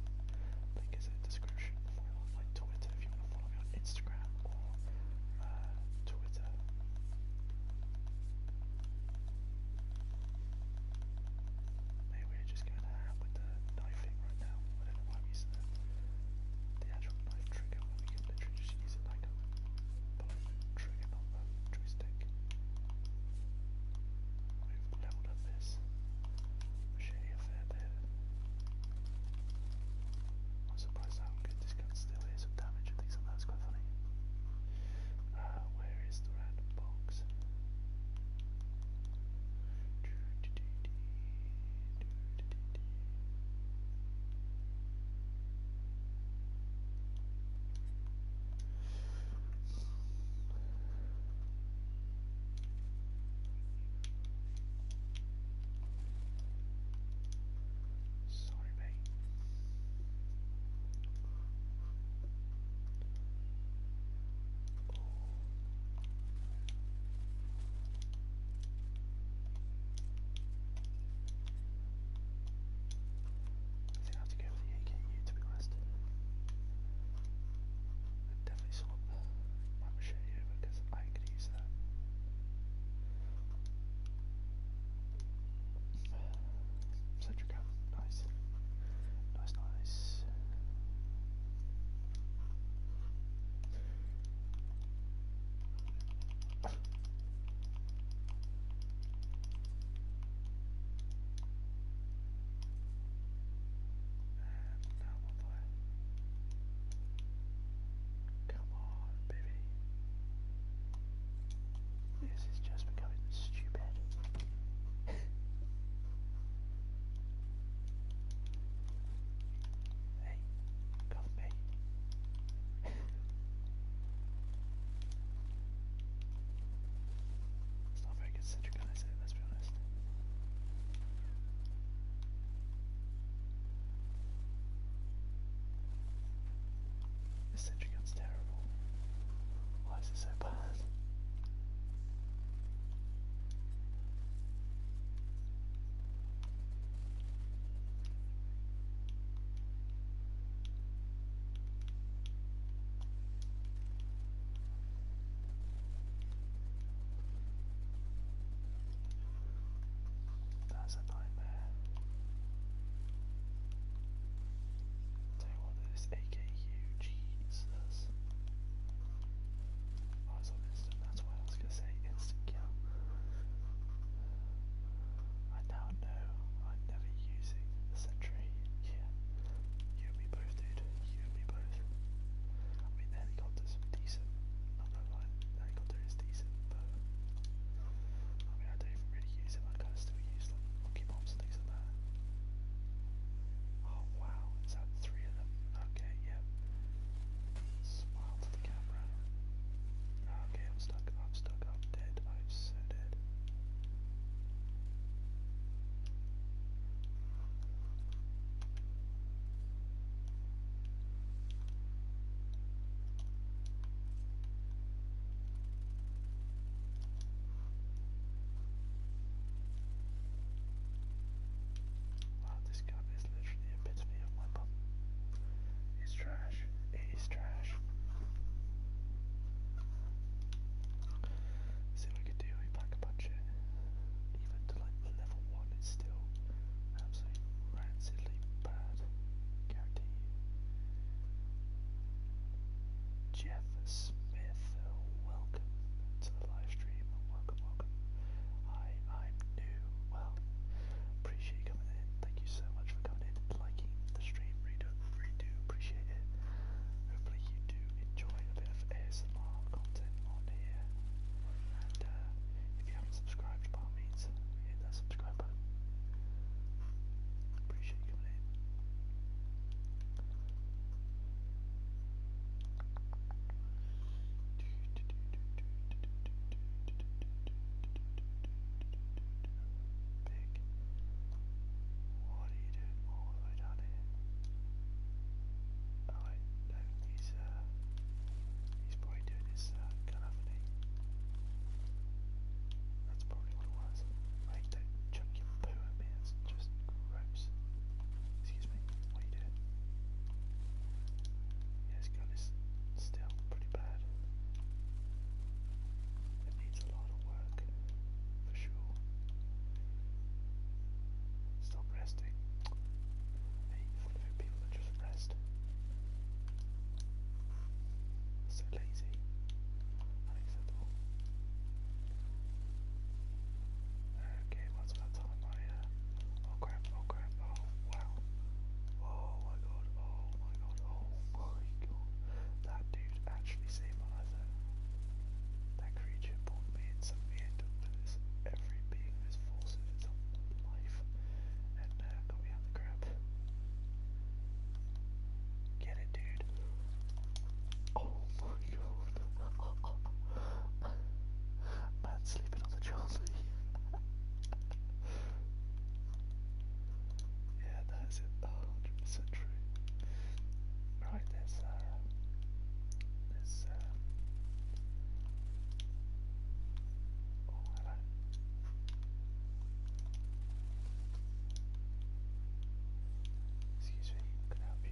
Link is in description for like Twitter if you want to follow me on Instagram or uh, Twitter. Maybe we're just going to have with the knifing right now. I don't know why I'm using the actual knife trigger where we can literally just use it like a bullet trigger, not a joystick. We've leveled up this machete a fair bit. I'm surprised how good this gun still is some damage and things like that, it's quite funny. Uh, where is the random box? Sorry, mate. I think I have to go with the AKU to be honest. I'd definitely swap my machete over because I could use that. Centric nice. Nice, nice. Come on, baby. This is just becoming stupid. Hey, it's not very concentric on let's be honest. This sentry terrible. Why is it so bad? That's a nightmare. Tell you what, this AKU, Jesus. Eyes on this. That's what I was gonna say. Instant kill. I now know i never using the sentry. Yeah. You and me both, dude. You and me both. I mean, the helicopter's decent. Not gonna lie, the helicopter is decent, but I mean, I don't even really use them. I kind of still use them. Monkey bombs and things like Oh wow, is three of them? Okay, yeah. Smile to the camera. Okay, I'm stuck, I'm stuck, I'm dead, I'm so dead. Wow, this cup is literally it's trash. It is trash. See what we could do, we pack a bunch even to like level one it's still absolutely rancidly bad. Guarantee Jeff Smith, welcome to the live stream. Welcome, welcome. Hi, I'm new. Well, appreciate you coming in. Thank thank you so much for coming in, liking the stream, really do, really do appreciate it. Hopefully you do enjoy a bit of ASMR content on here. And uh, if you haven't subscribed, by all means, hit that subscribe button. Appreciate you coming in. Big. What are you doing all the way down here? Oh he's he's probably doing his uh canopy. That's probably what it was. Right, do poo at just gross. Excuse me, what are yeah, his gun is still pretty bad. It needs a lot of work, for sure. Stop resting. Hey, it's people that just rest. So lazy. Unacceptable. Okay, once about time uh, oh crap, oh crap, oh wow. Oh my god, oh my god, oh my god. That dude actually saved my life That creature pulled me in some weird darkness. Every being is force of its own life. And uh, got me out the crap. Get it, dude. Oh my god. Man sleeping on the Charlie. Yeah, that's it. Oh, 100% true. Right, there's, uh, there's, um, oh, hello. Excuse me, can I help you?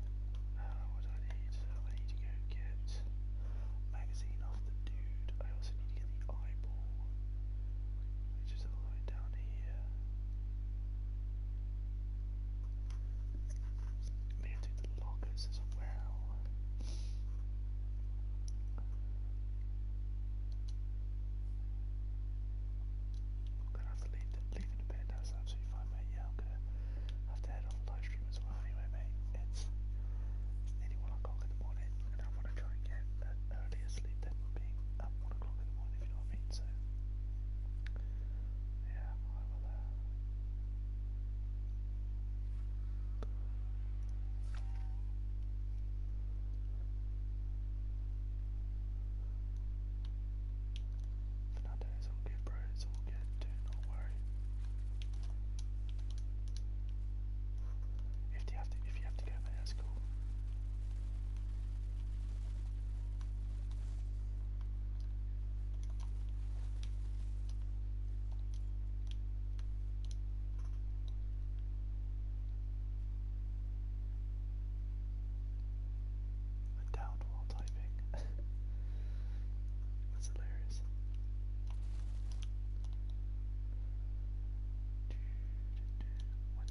Uh, what I need? Uh, I need to go get magazine off the dude. I also need to get the eyeball, which is all down here. Maybe i do the lockers as well. i have to leave, leave in a bit. That's absolutely fine, Yeah, I'm gonna have to head off live stream anyway, mate. It's, it's nearly 1 o'clock in the morning, and I want to try and get earlier sleep than being up 1 o'clock in the morning, if you know what mean, so... Yeah, I will, uh... Fernando, it's don't worry. If you have to, if you have to go, man, that's cool. A doubt while typing. That's hilarious. What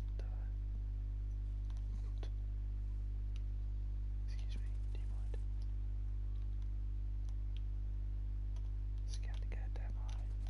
Excuse me, do you mind? Scout the goddamn eye.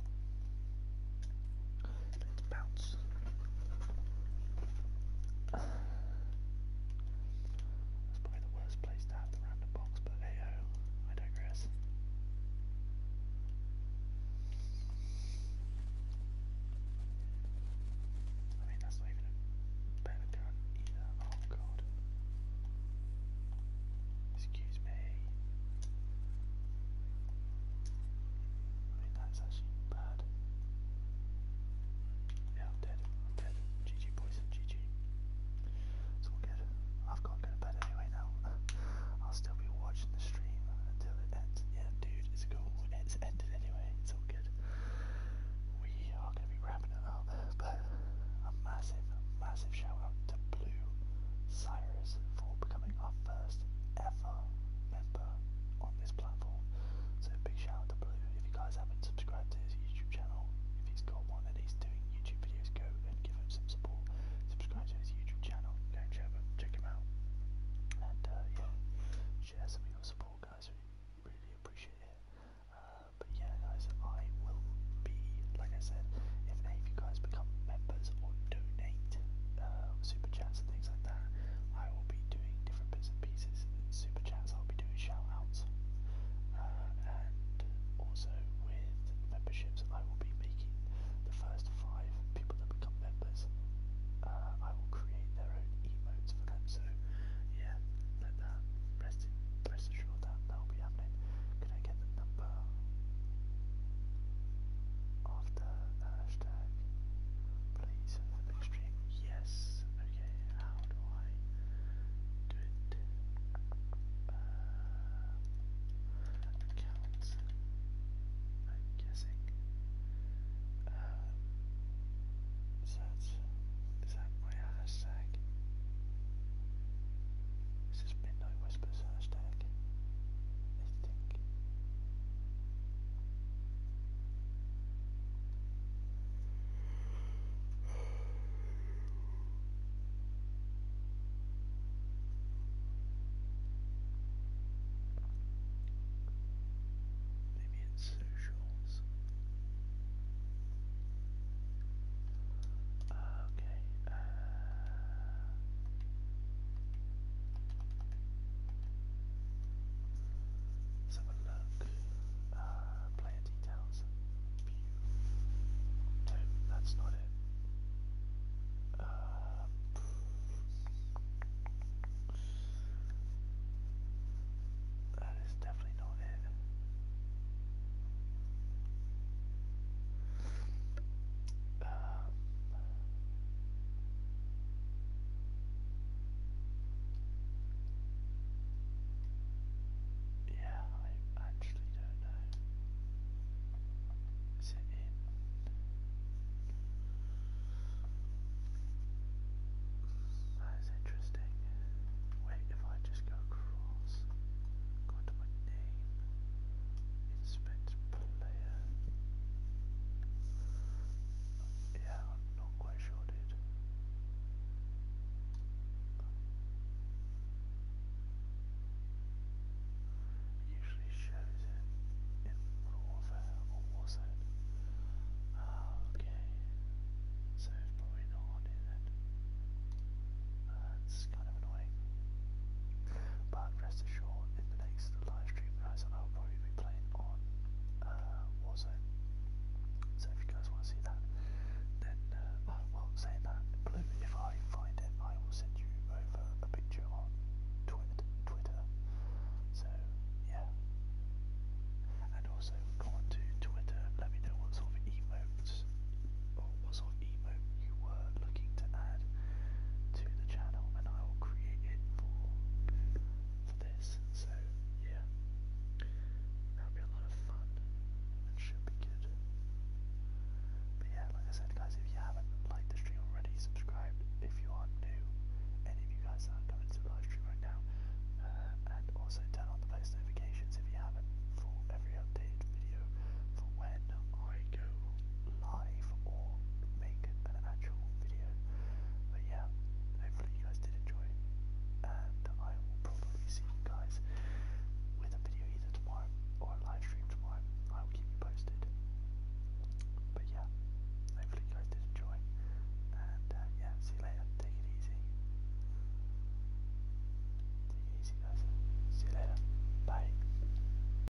Let's bounce. That's probably the worst place to have the random box, but hey oh, I digress. I mean, that's not even a better gun either. Oh god. Excuse me. I that's actually bad. Yeah, I'm dead. I'm dead. GG, boys. GG. It's all good. I've got to go to bed anyway now. I'll still be watching the stream until it ends. Yeah, dude, it's cool. It's ended anyway. It's all good. We are going to be wrapping it up. But a massive, massive shout to Blue Cyrus for becoming our first ever member on this platform. So big shout out to Blue. If you guys haven't subscribed to his YouTube channel, if he's got one and he's doing YouTube videos, go and give him some support. Subscribe to his YouTube channel, go and check him, check him out. And uh, yeah, share some of your support guys, we really appreciate it. Uh, but yeah guys, I will be, like I said, if any of you guys become members or donate uh, super chats and things like that, I will be doing different bits and pieces. Super chats, I'll be doing shout outs, uh, and also with memberships, I will be making the first five people that become members. Uh, I will create their own emotes for them. So yeah, let that rest in, rest assured that that will be happening. Can I get the number after the hashtag? Please, for Yes. Okay. How do I do it? Uh, accounts. I'm guessing. Um, so that my hashtag? This is Midnight Whispers hashtag. Maybe it's socials. Ah, okay have a look. Uh, player details. No, that's not it. Uh, that is definitely not it um, yeah, I actually don't know. Is it in? That is interesting. Wait, if I just go across, go to my name. Inspect player. Yeah, I'm not quite sure, dude. usually shows it in Modern Warfare or Warzone. Ah, okay. So it's probably not on it kind of annoying. But rest assured, in the next live stream that I will probably be playing on uh, Warzone. So if you guys want to see that, then, uh, oh, well, saying that, Blue, if I find it, I will send you over a picture on Twitter. Twitter. So, yeah. And also, go on to Twitter, let me know what sort of emotes, or what sort of emotes emote you were looking to add to the channel, and I will create it for this. So yeah, that'll be a lot of fun. It should be good. But yeah, like I said, guys, if you haven't liked the stream already, subscribed. If you are new, any of you guys that are coming to the live stream right now, uh, and also turn on the post notifications if you haven't for every updated video for when I go live or make an actual video. But yeah, hopefully you guys did enjoy, and I will probably see you guys with a video either tomorrow or a live stream tomorrow. I will keep you posted. But yeah, hopefully you guys did enjoy, and uh, yeah, see you later. Take it easy. Take it easy, guys. See you later. Bye.